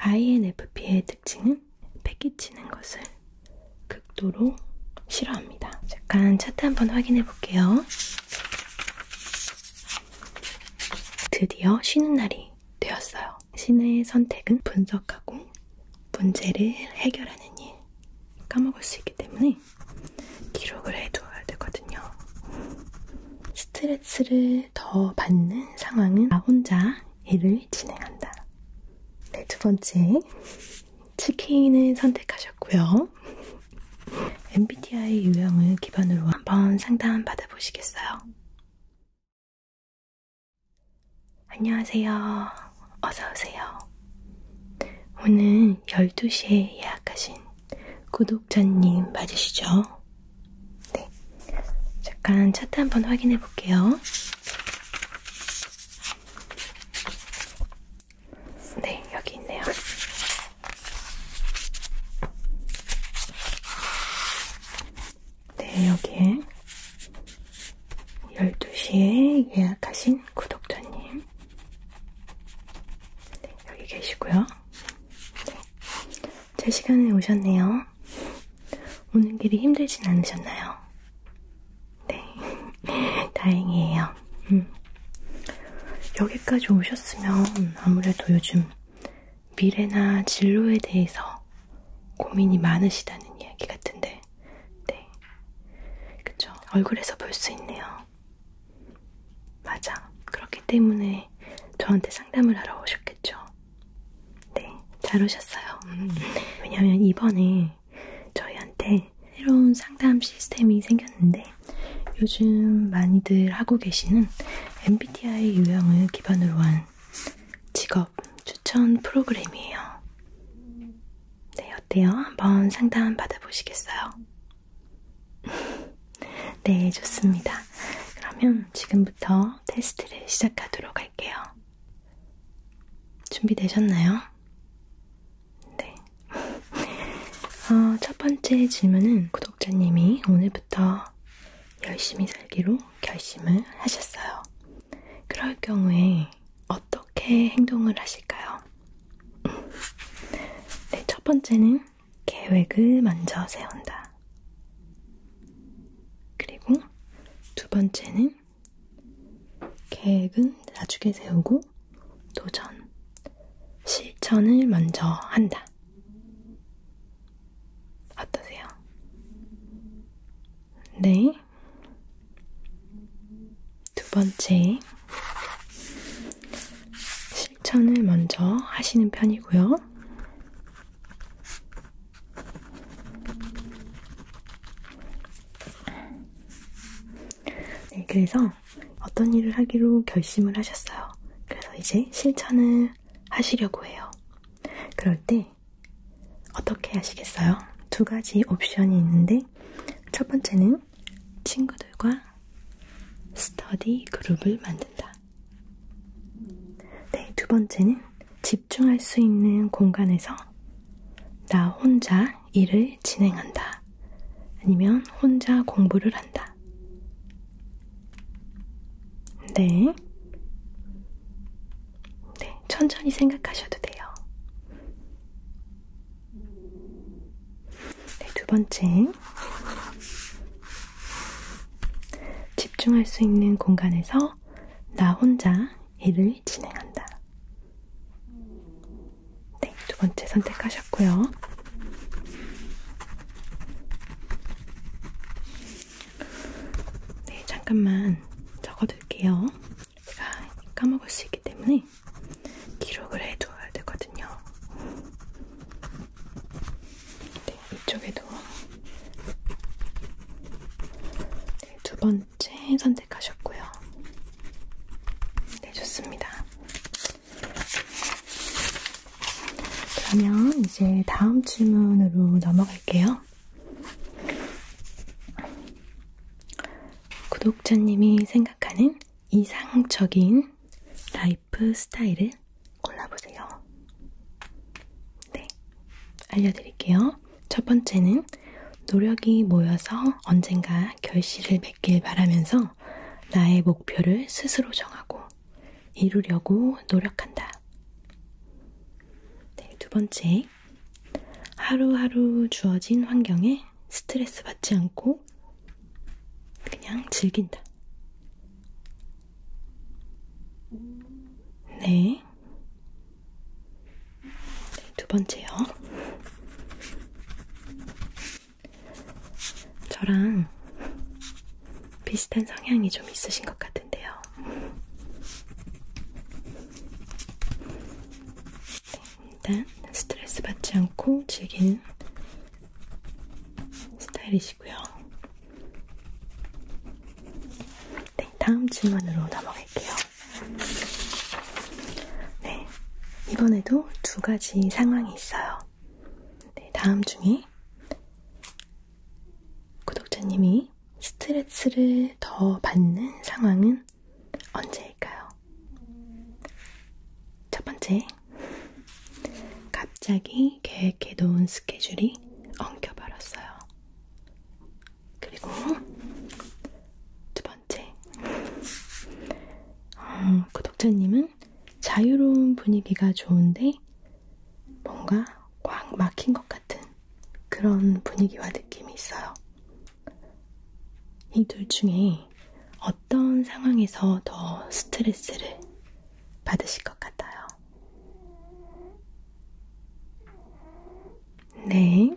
INFP의 특징은 패기치는 것을 극도로 싫어합니다. 잠깐 차트 한번 확인해 볼게요. 드디어 쉬는 날이 되었어요. 신의 선택은 분석하고 문제를 해결하는 일. 까먹을 수 있기 때문에 기록을 해두어야 되거든요. 스트레스 스트레스를 더 받는 상황은 나 혼자 일을 진행한다. 네, 두 번째. 치킨을 선택하셨고요. MBTI 유형을 기반으로 한번 상담 받아보시겠어요? 안녕하세요. 어서오세요. 오늘 12시에 예약하신 구독자님 맞으시죠? 네. 잠깐 차트 한번 확인해 볼게요. 네, 여기 있네요. 네, 여기에 12시에 예약하신 구독자님. 네, 여기 계시고요. 네. 제 시간에 오셨네요. 오는 길이 힘들진 않으셨나요? 네, 다행이에요. 음. 여기까지 오셨으면 아무래도 요즘 미래나 진로에 대해서 고민이 많으시다는 이야기 같은데, 네, 그쵸? 얼굴에서 볼 수 있네요. 맞아. 그렇기 때문에 저한테 상담을 하러 오셨겠죠. 네, 잘 오셨어요. 음. 왜냐면 이번에 저희한테 새로운 상담 시스템이 생겼는데 요즘 많이들 하고 계시는 MBTI 유형을 기반으로 한 직업 추천 프로그램이에요. 네, 어때요? 한번 상담 받아보시겠어요? 네, 좋습니다. 그러면 지금부터 먼저 테스트를 시작하도록 할게요. 준비되셨나요? 네. 어, 첫 번째 질문은 구독자님이 오늘부터 열심히 살기로 결심을 하셨어요. 그럴 경우에 어떻게 행동을 하실까요? 네, 첫 번째는 계획을 먼저 세운다. 그리고 두 번째는 계획은 나중에 세우고 도전, 실천을 먼저 한다. 어떠세요? 네. 두 번째. 실천을 먼저 하시는 편이고요. 네, 그래서 어떤 일을 하기로 결심을 하셨어요. 그래서 이제 실천을 하시려고 해요. 그럴 때 어떻게 하시겠어요? 두 가지 옵션이 있는데 첫 번째는 친구들과 스터디 그룹을 만든다. 네, 두 번째는 집중할 수 있는 공간에서 나 혼자 일을 진행한다. 아니면 혼자 공부를 한다. 네. 네, 천천히 생각하셔도 돼요. 네, 두 번째. 집중할 수 있는 공간에서 나 혼자 일을 진행한다. 네, 두 번째 선택하셨고요. 네, 잠깐만 적어둘게요. 제가 까먹을 수 있기 때문에 기록을 해두어야 되거든요. 네, 이쪽에도 네, 두 번째 선택하셨고요. 네, 좋습니다. 그러면 이제 다음 질문으로 넘어갈게요. 구독자님이 생각하는 이상적인 라이프 웨이프 스타일을 골라보세요. 네, 알려드릴게요. 첫 번째는 노력이 모여서 언젠가 결실을 맺길 바라면서 나의 목표를 스스로 정하고 이루려고 노력한다. 네, 두 번째, 하루하루 주어진 환경에 스트레스 받지 않고 그냥 즐긴다. 네. 네, 두 번째요. 저랑 비슷한 성향이 좀 있으신 것 같은데요. 네, 일단 스트레스 받지 않고 즐기는 스타일이시고. 주시고요. 네, 다음 질문으로 넘어갈게요. 네, 이번에도 두 가지 상황이 있어요. 네, 다음 중에 구독자님이 스트레스를 더 받는 상황은 언제일까요? 첫 번째, 갑자기 계획해놓은 스케줄이 엉켜버렸어요. 그리고 두 번째, 어, 구독자님은 그 자유로운 분위기가 좋은데 뭔가 꽉 막힌 것 같은 그런 분위기와 느낌이 있어요. 이 둘 중에 어떤 상황에서 더 스트레스를 받으실 것 같아요. 네.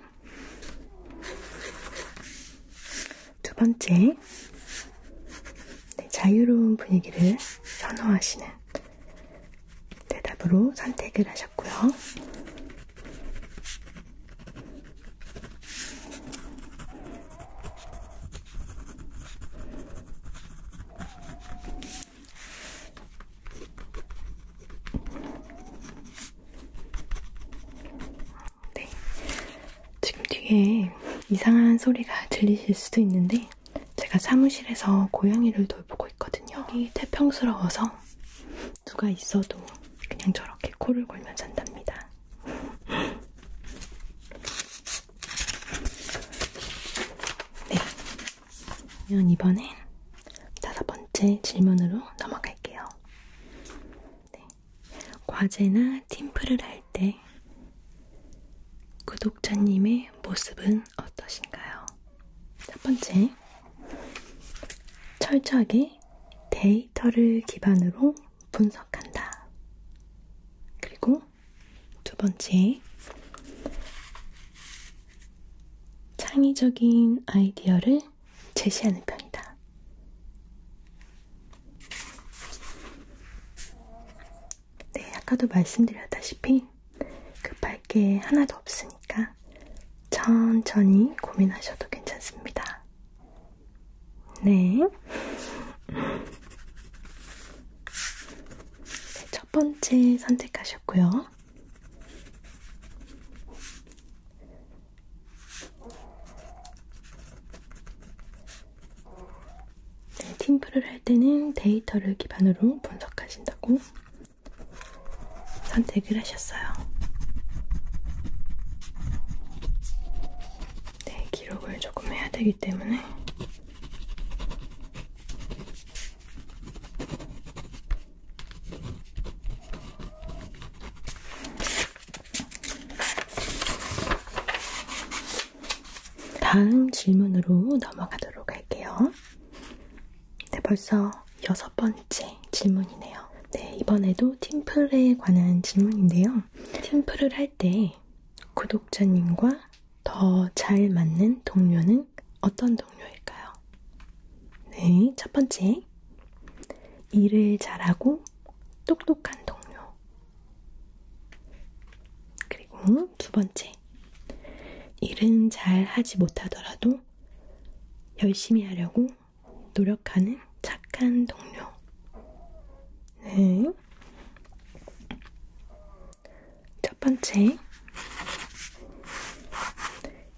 두 번째, 네, 자유로운 분위기를 선호하시는 대답으로 선택을 하셨고요. 네. 지금 뒤에 이상한 소리가 들리실 수도 있는데, 제가 사무실에서 고양이를 돌보고 있거든요. 이 태평스러워서 누가 있어도 그냥 저렇게 코를 골며 잔답니다. 네. 그러면 이번엔 다섯 번째 질문으로 넘어갈게요. 네. 과제나 팀플을 할 때 구독자님의 모습은 어떠신가요? 첫 번째, 철저하게 데이터를 기반으로 분석한다. 그리고 두 번째, 창의적인 아이디어를 제시하는 편이다. 네, 아까도 말씀드렸다시피 급할 게 하나도 없으니까 천천히 고민하셔도 괜찮습니다. 네. 첫 번째 선택하셨고요. 네, 팀플을 할 때는 데이터를 기반으로 분석하신다고 선택을 하셨어요. 네, 기록을 조금 해야 되기 때문에 다음 질문으로 넘어가도록 할게요. 네, 벌써 여섯 번째 질문이네요. 네, 이번에도 팀플에 관한 질문인데요. 팀플을 할때 때 구독자님과 더 잘 맞는 동료는 어떤 동료일까요? 네, 첫 번째. 일을 잘하고 똑똑한 동료. 그리고 두 번째. 일은 잘 하지 못하더라도 열심히 하려고 노력하는 착한 동료. 네. 첫 번째,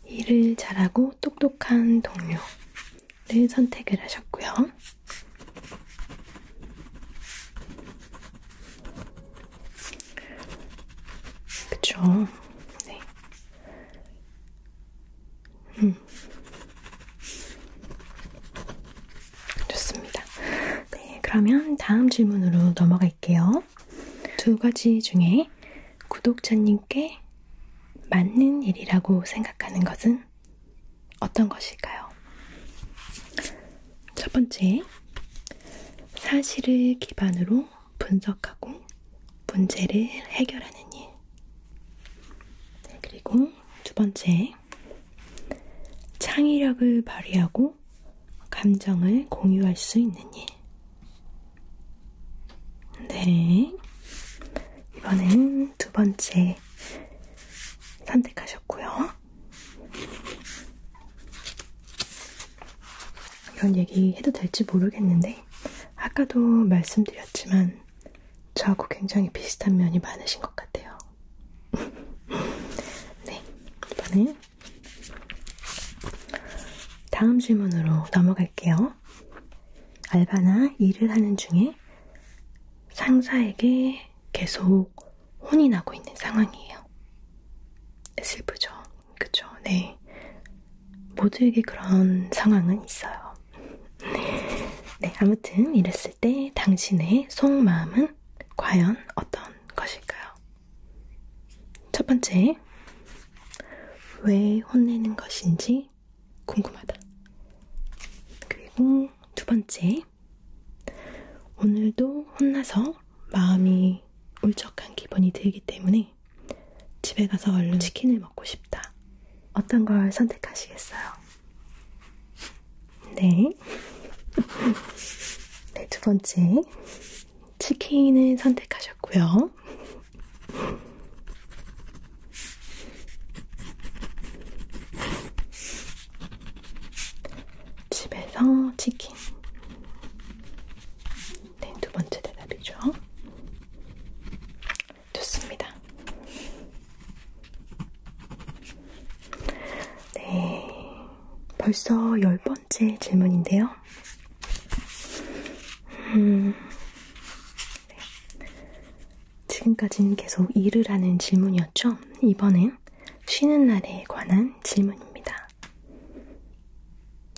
일을 잘하고 똑똑한 동료를 선택을 하셨고요. 그쵸? 네. 음. 좋습니다. 네, 그러면 다음 질문으로 넘어갈게요. 두 가지 중에 구독자님께 맞는 일이라고 생각하는 것은 어떤 것일까요? 첫 번째, 사실을 기반으로 분석하고 문제를 해결하는 일. 네, 그리고 두 번째, 때문에 창의력을 발휘하고 감정을 공유할 수 있는 일. 네. 이번엔 두 번째 선택하셨고요. 이런 얘기 해도 될지 모르겠는데, 아까도 말씀드렸지만, 저하고 굉장히 비슷한 면이 많으신 것 같아요. 네, 이번엔 다음 질문으로 넘어갈게요. 알바나 일을 하는 중에 상사에게 계속 혼이 나고 있는 상황이에요. 슬프죠? 그쵸? 네. 모두에게 그런 상황은 있어요. 네, 아무튼 이랬을 봤을 때 당신의 속마음은 과연 어떤 것일까요? 첫 번째, 왜 혼내는 것인지 궁금하다. 그리고 두 번째, 오늘도 혼나서 마음이 울적한 기분이 들기 때문에 집에 가서 얼른 치킨을 먹고 싶다. 어떤 걸 선택하시겠어요? 네. 네, 두 번째. 치킨을 선택하셨고요. 집에서 치킨. 네, 두 번째 대답이죠. 좋습니다. 네, 벌써 열 번째 질문인데요. 음, 네. 지금까지는 계속 일을 하는 질문이었죠? 이번엔 쉬는 날에 관한 질문입니다.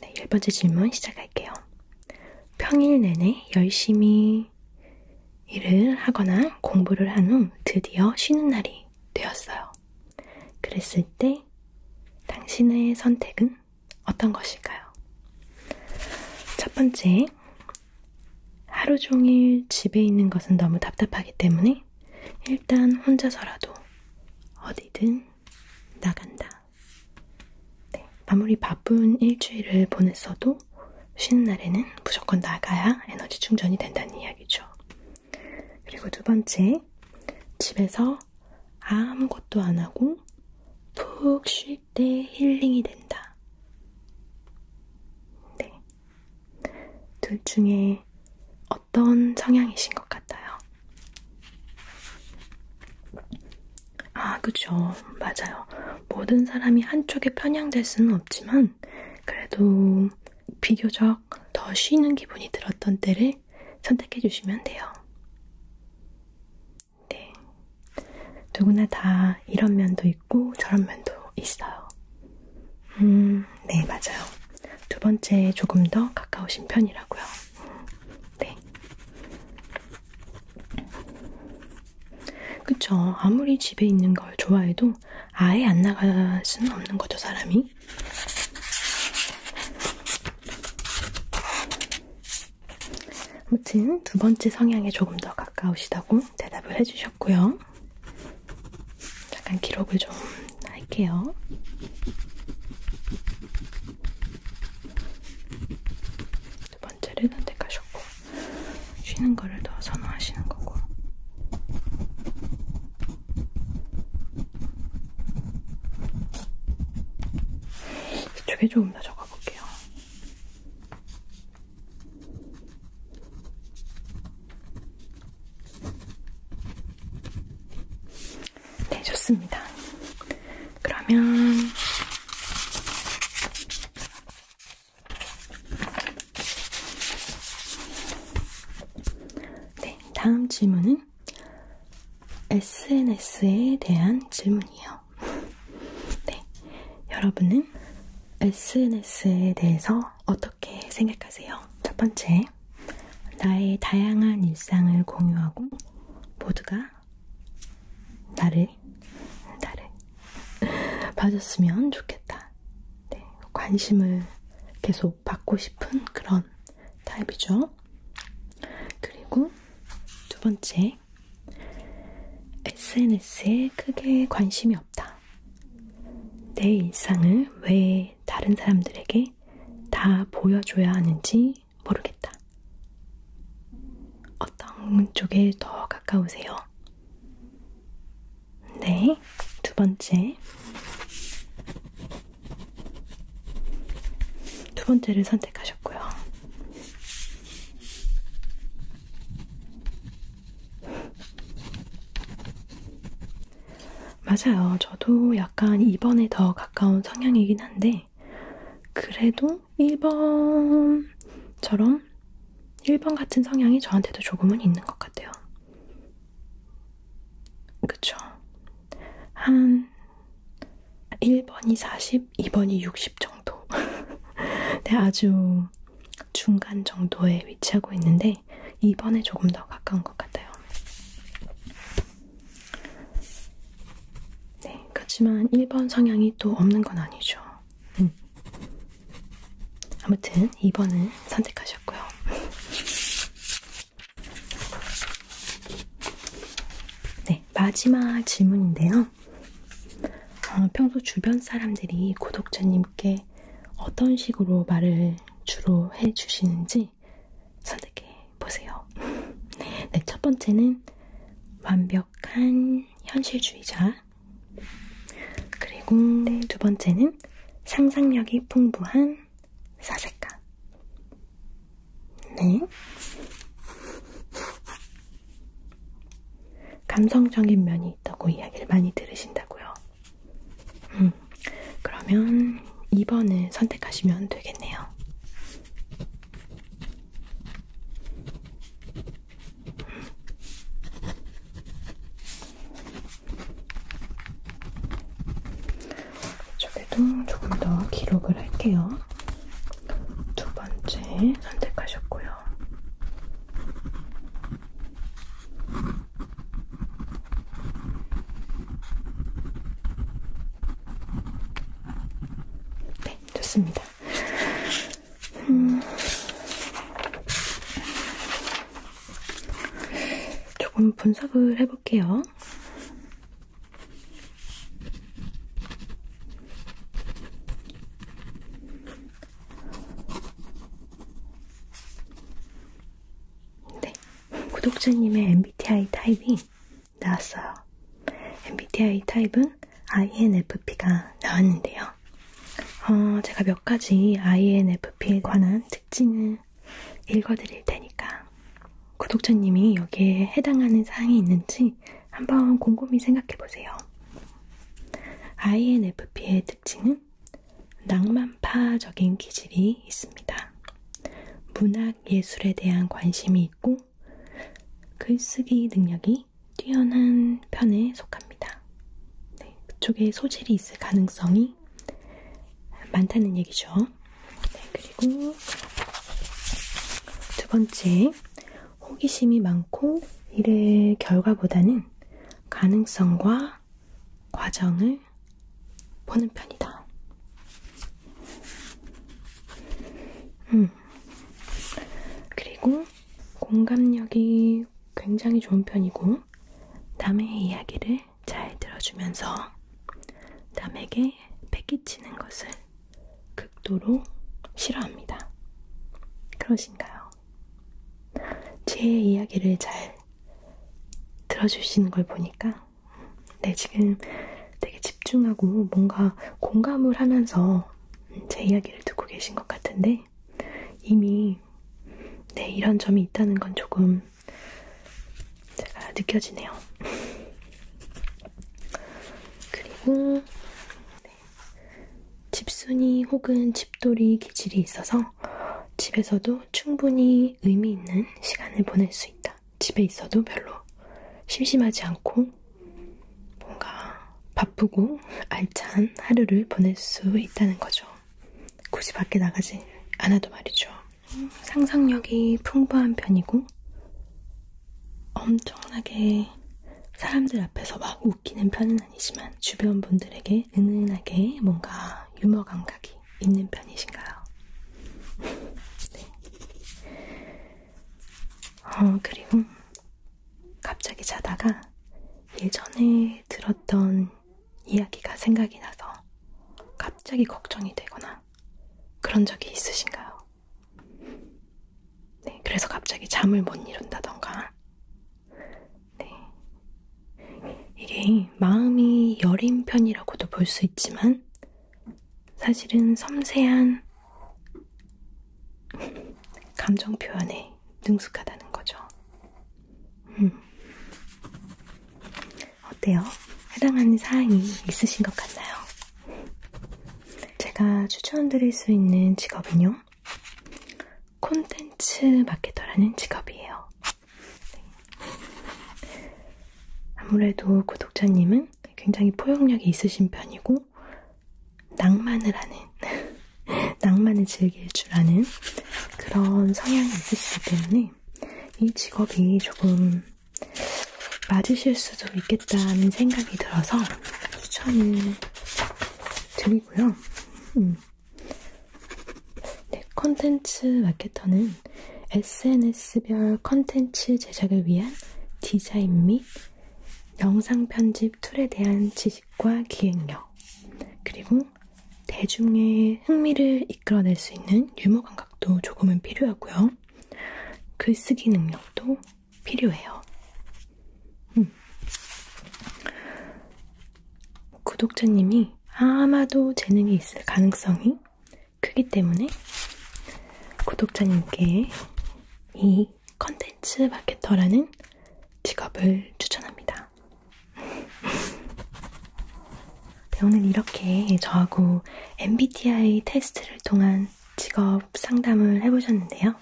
네, 열 번째 질문 시작할게요. 평일 내내 열심히 열심히 일을 하거나 공부를 한 후 드디어 쉬는 날이 되었어요. 그랬을 때 당신의 선택은 어떤 것일까요? 첫 번째, 하루 종일 집에 있는 것은 너무 답답하기 때문에 일단 혼자서라도 어디든 나간다. 네, 아무리 바쁜 일주일을 보냈어도 쉬는 날에는 무조건 나가야 에너지 충전이 된다는 이야기죠. 그리고 두 번째, 집에서 아무것도 안 하고 푹 쉴 때 힐링이 된다. 네. 둘 중에 어떤 성향이신 것 같아요? 아, 그쵸. 맞아요. 모든 사람이 한쪽에 편향될 수는 없지만 그래도 비교적 더 쉬는 기분이 들었던 때를 선택해 주시면 돼요. 네. 누구나 다 이런 면도 있고 저런 면도 있어요. 음, 네, 맞아요. 두 번째에 조금 더 가까우신 편이라고요. 네. 그쵸. 아무리 집에 있는 걸 좋아해도 아예 안 나갈 수는 없는 거죠, 사람이. 아무튼 두 번째 성향에 조금 더 가까우시다고 대답을 해주셨고요. 잠깐 기록을 좀 할게요. 두 번째를 선택하셨고 쉬는 거를 더 선호하시는 거고 이쪽에 조금 더 적어볼게요. 네, 좋습니다. 그러면 네, 다음 질문은 SNS에 대한 질문이에요. 네, 여러분은 SNS에 대해서 어떻게 생각하세요? 첫 번째, 나의 다양한 일상을 공유하고 모두가 나를 네, 나를 봐줬으면 좋겠다. 네, 관심을 계속 받고 싶은 그런 타입이죠. 그리고 두 번째, SNS에 크게 관심이 없다. 내 일상을 왜 다른 사람들에게 다 보여줘야 하는지 모르겠다. 어떤 쪽에 더 가까우세요? 네, 두 번째. 두 번째를 선택하셨고요. 맞아요. 저도 약간 이번에 더 가까운 성향이긴 한데, 그래도 성향 1번처럼 1번 같은 성향이 저한테도 조금은 있는 것 같아요. 그쵸? 한 1번이 40, 2번이 60 정도. 네, 아주 중간 정도에 위치하고 있는데 2번에 조금 더 가까운 것 같아요. 네, 그렇지만 1번 성향이 또 없는 건 아니죠. 음. 아무튼 2번을 선택하셨고요. 네, 마지막 질문인데요. 어, 평소 주변 사람들이 구독자님께 어떤 식으로 말을 주로 해주시는지 선택해 보세요. 네, 첫 번째는 완벽 과격한 현실주의자. 그리고 네. 두 번째는 상상력이 풍부한 사색가. 네. 감성적인 면이 있다고 이야기를 많이 들으신다고요. 음, 그러면 2번을 선택하시면 되겠네요. 이쪽에도 조금 더 기록을 할게요. 두 번째 선택하셨고요. 네, 좋습니다. 음, 조금 분석을 해볼게요. 네, 구독자님의 MBTI 타입이 나왔어요. MBTI 타입은 나온 INFP가 나왔는데요. 어, 제가 몇 가지 INFP에 관한 특징을 읽어드릴 테니까 구독자님이 여기에 해당하는 사항이 있는지 한번 곰곰이 생각해 보세요. INFP의 특징은 낭만파적인 기질이 있습니다. 문학 예술에 대한 관심이 있고 글쓰기 능력이 굉장히 뛰어난 편에 속합니다. 네, 그쪽에 소질이 있을 가능성이 많다는 얘기죠. 네, 그리고 두 번째, 호기심이 많고 일의 결과보다는 가능성과 과정을 보는 편이다. 음. 그리고 공감력이 굉장히 좋은 편이고 남의 이야기를 잘 들어주면서 남에게 패기치는 것을 극도로 싫어합니다. 그러신가요? 제 이야기를 잘 들어주시는 걸 보니까 네, 지금 되게 집중하고 뭔가 공감을 하면서 제 이야기를 듣고 계신 것 같은데 이미 네, 이런 점이 있다는 건 조금 제가 느껴지네요. 그리고 네, 집순이 혹은 집돌이 기질이 있어서 집에서도 충분히 의미 있는 시간을 보낼 수 있다. 집에 있어도 별로 심심하지 않고 뭔가 바쁘고 알찬 하루를 보낼 수 있다는 거죠. 굳이 밖에 나가지 않아도 말이죠. 상상력이 풍부한 편이고 엄청나게 사람들 앞에서 막 웃기는 편은 아니지만 주변 분들에게 은은하게 뭔가 유머 감각이 있는 편이신가요? 네. 어, 그리고 갑자기 자다가 예전에 들었던 이야기가 생각이 나서 갑자기 걱정이 되거나 그런 적이 있으신가요? 네, 그래서 갑자기 잠을 못 이룬다던가. 네. 이게 마음이 여린 편이라고도 볼 수 있지만 사실은 섬세한 감정 표현에 능숙하다는 거죠. 음. 어때요? 해당하는 사항이 있으신 것 같나요? 제가 추천드릴 수 있는 직업은요. 콘텐츠 마케터라는 직업이에요. 아무래도 구독자님은 굉장히 포용력이 있으신 편이고 그리고 낭만을 하는, 낭만을 즐길 줄 아는 그런 성향이 있으시기 때문에 이 직업이 조금 맞으실 수도 있겠다는 생각이 들어서 추천을 드리고요. 음. 네, 컨텐츠 마케터는 SNS별 컨텐츠 제작을 위한 디자인 및 영상 편집 툴에 대한 지식과 기획력, 그리고 대중의 흥미를 이끌어낼 수 있는 유머 감각도 조금은 필요하고요. 글쓰기 능력도 필요해요. 음. 구독자님이 아마도 재능이 있을 가능성이 크기 때문에 구독자님께 이 특히 컨텐츠 마케터라는 직업을 추천합니다. 네, 오늘 이렇게 저하고 MBTI 테스트를 통한 직업 상담을 해보셨는데요.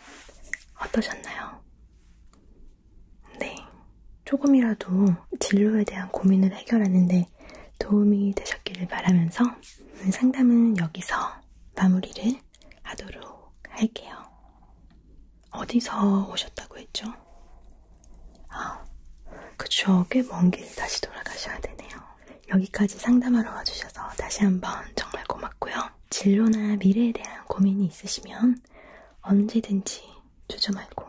어떠셨나요? 네. 조금이라도 진로에 대한 고민을 해결하는데 도움이 되셨기를 바라면서 상담은 여기서 마무리를 하도록 할게요. 어디서 오셨다고 했죠? 아, 그쵸. 꽤 먼 길 다시 돌아가셔야 되네요. 여기까지 상담하러 와주셔서 다시 한번 정말 고맙고요. 진로나 미래에 대한 고민이 있으시면 언제든지 주저 말고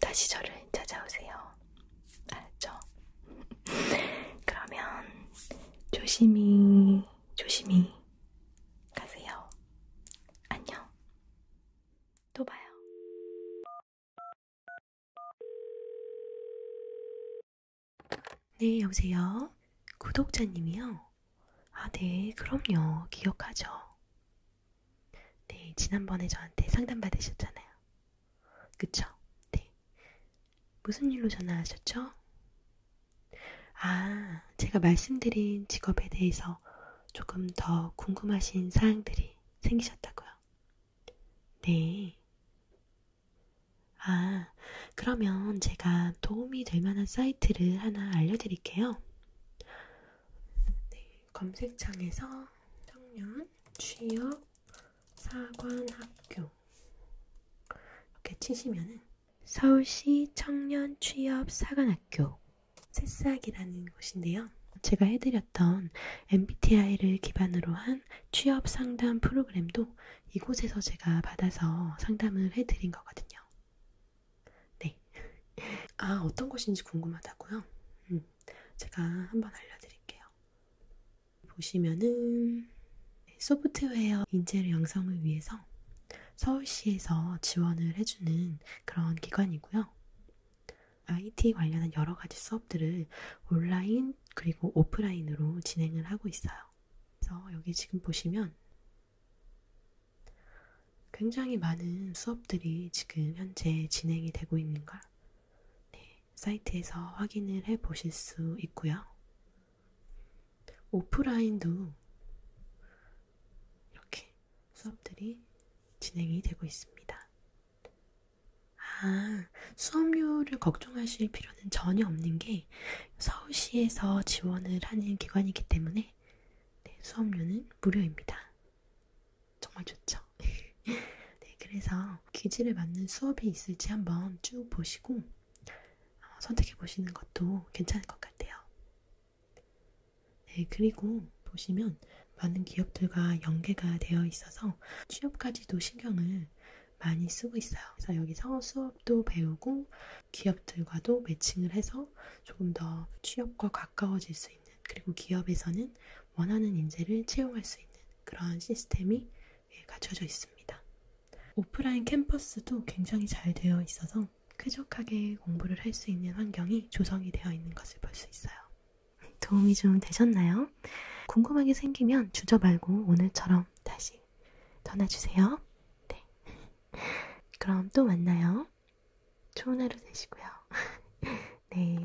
다시 저를 찾아오세요. 알았죠? 그러면 조심히 조심히 가세요. 안녕. 또 봐요. 네, 여보세요. 구독자님이요? 아, 네, 그럼요. 기억하죠. 네, 지난번에 저한테 상담 받으셨잖아요. 그쵸? 네. 무슨 일로 전화하셨죠? 아, 제가 말씀드린 직업에 대해서 조금 더 궁금하신 사항들이 생기셨다고요. 네. 아, 그러면 제가 도움이 될 만한 사이트를 하나 알려드릴게요. 네, 검색창에서 청년 취업 사관학교 이렇게 치시면은 서울시 청년 취업 사관학교 새싹이라는 곳인데요. 제가 해드렸던 MBTI를 기반으로 한 취업 상담 프로그램도 이곳에서 제가 받아서 상담을 해드린 거거든요. 네. 아, 어떤 곳인지 궁금하다고요? 음, 제가 한번 알려드릴게요. 보시면은 소프트웨어 인재를 양성을 위해서 서울시에서 지원을 해주는 그런 기관이고요. IT 관련한 여러 가지 수업들을 온라인 그리고 오프라인으로 진행을 하고 있어요. 그래서 여기 지금 보시면 굉장히 많은 수업들이 지금 현재 진행이 되고 있는 걸 네, 사이트에서 확인을 해 보실 수 있고요. 오프라인도 이렇게 수업들이 진행이 되고 있습니다. 아, 수업료를 걱정하실 필요는 전혀 없는 게 서울시에서 지원을 하는 기관이기 때문에 네, 수업료는 무료입니다. 정말 좋죠? 네, 그래서 기질에 맞는 수업이 있을지 한번 쭉 보시고 어, 선택해 보시는 것도 괜찮을 것 같아요. 네, 그리고 보시면 많은 기업들과 연계가 되어 있어서 취업까지도 신경을 많이 쓰고 있어요. 그래서 여기서 수업도 배우고 기업들과도 매칭을 해서 조금 더 취업과 가까워질 수 있는 그리고 기업에서는 원하는 인재를 채용할 수 있는 그런 시스템이 갖춰져 있습니다. 오프라인 캠퍼스도 굉장히 잘 되어 있어서 쾌적하게 공부를 할 수 있는 환경이 조성이 되어 있는 것을 볼 수 있어요. 도움이 좀 되셨나요? 궁금한 게 생기면 주저 말고 오늘처럼 다시 전화주세요. 네. 그럼 또 만나요. 좋은 하루 되시고요. 네.